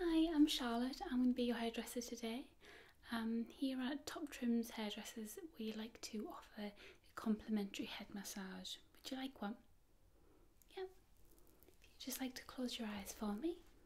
Hi, I'm Charlotte. I'm going to be your hairdresser today. Um, here at Top Trims Hairdressers, we like to offer a complimentary head massage. Would you like one? Yep. If you just like to close your eyes for me.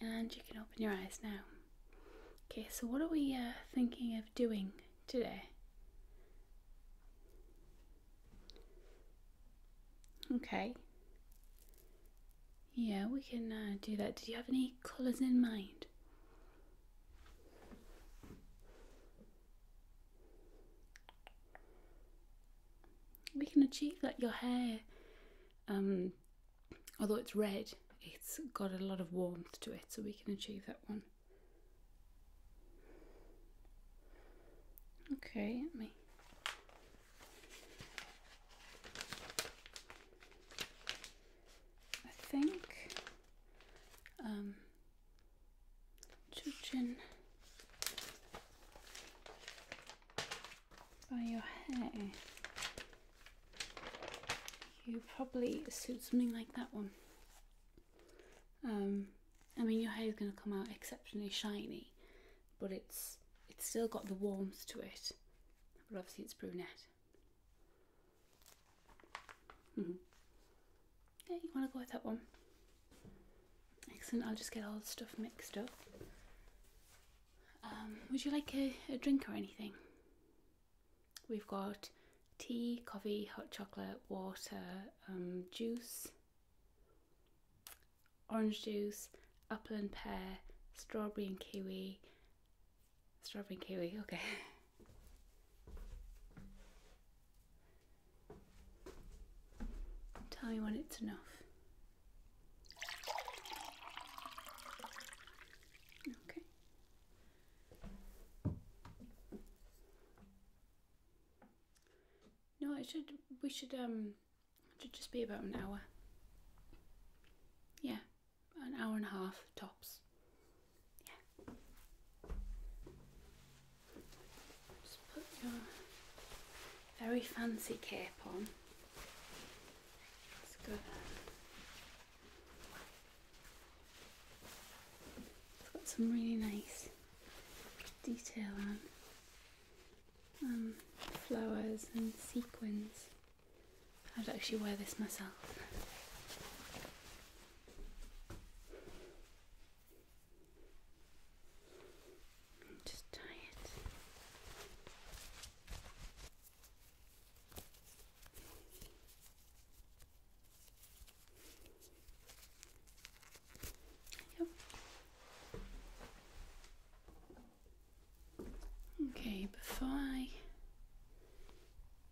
And you can open your eyes now. Okay, so what are we uh, thinking of doing today? Okay. Yeah, we can uh, do that. Did you have any colours in mind? We can achieve that. Your hair, um, although it's red, it's got a lot of warmth to it, so we can achieve that one. Okay, me. I think um, judging by your hair, you probably suit something like that one. Um, I mean, your hair is going to come out exceptionally shiny, but it's it's still got the warmth to it. But obviously, it's brunette. Mm-hmm. Yeah, you want to go with that one? Excellent, I'll just get all the stuff mixed up. Um, would you like a, drink or anything? We've got tea, coffee, hot chocolate, water, um, juice, orange juice, apple and pear, strawberry and kiwi, Strawberry and kiwi, okay. Tell me when it's enough. Okay. No, it should, we should, um, should just be about an hour. Yeah an hour and a half tops. Yeah. Just put your very fancy cape on. It's good. It's got some really nice detail on. Um, flowers and sequins. I'd actually wear this myself. Just tie it. There Okay, before I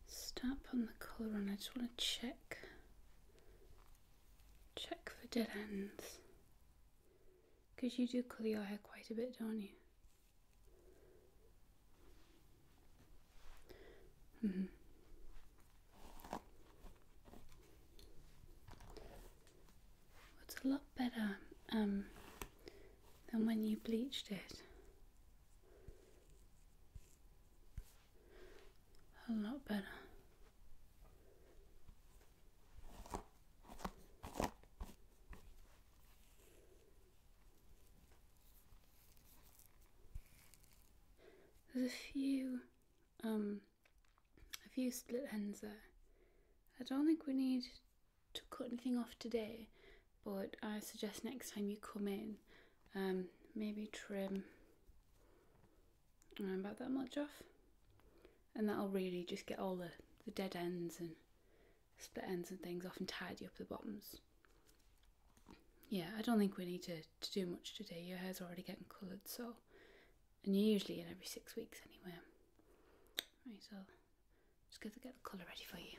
start on the colouring, I just want to check, check for dead ends. Because you do colour your hair quite a bit, don't you? Mm -hmm. What's a lot better um, than when you bleached it. A lot better. There's a few, um, a few split ends there. I don't think we need to cut anything off today but I suggest next time you come in um, maybe trim um, about that much off and that'll really just get all the, the dead ends and split ends and things off and tidy up the bottoms yeah I don't think we need to, to do much today your hair's already getting coloured so and you're usually in every six weeks anyway right so just going to get the colour ready for you.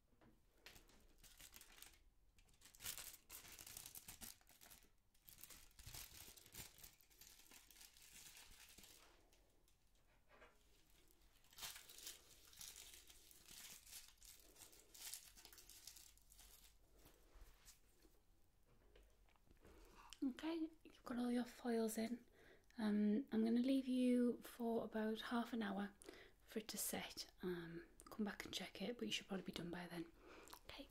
Okay, you've got all your foils in. Um, I'm going to leave you for about half an hour for it to set. Um, come back and check it, but you should probably be done by then. Okay.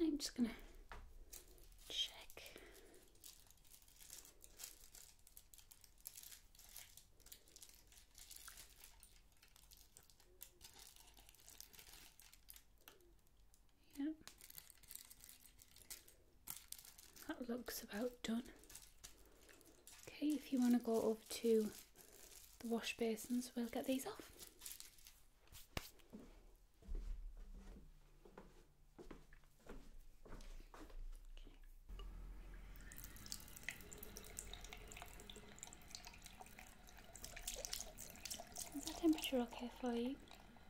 I'm just gonna check. Yeah. That looks about done. Okay, if you want to go over to the wash basins, we'll get these off. Is that temperature okay for you?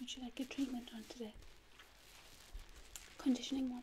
Would you like a treatment on today? Conditioning one.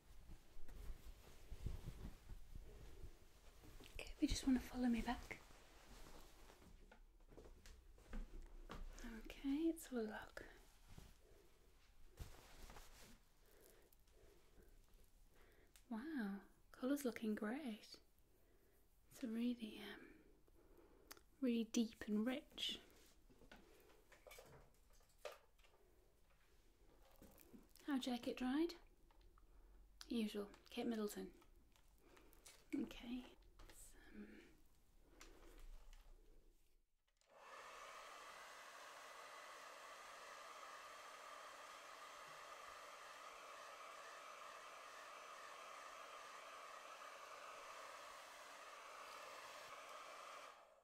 Okay, we just want to follow me back. Okay, it's all lock. Wow, colour's looking great. It's a really, um, really deep and rich. How'd it dried? Usual, Kate Middleton. Okay.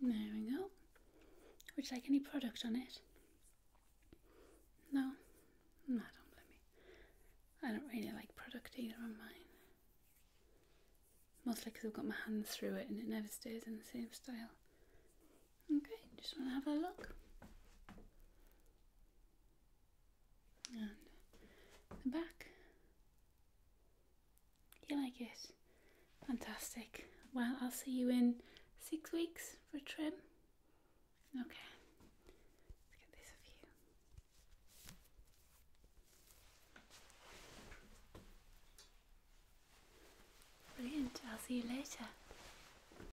There we go. Would you like any product on it? No? No, I don't I don't really like product either on mine. Mostly because I've got my hands through it and it never stays in the same style. Okay, just want to have a look. And the back. You like it? Fantastic. Well, I'll see you in six weeks for a trim. Okay. Let's get this of you. Brilliant. I'll see you later.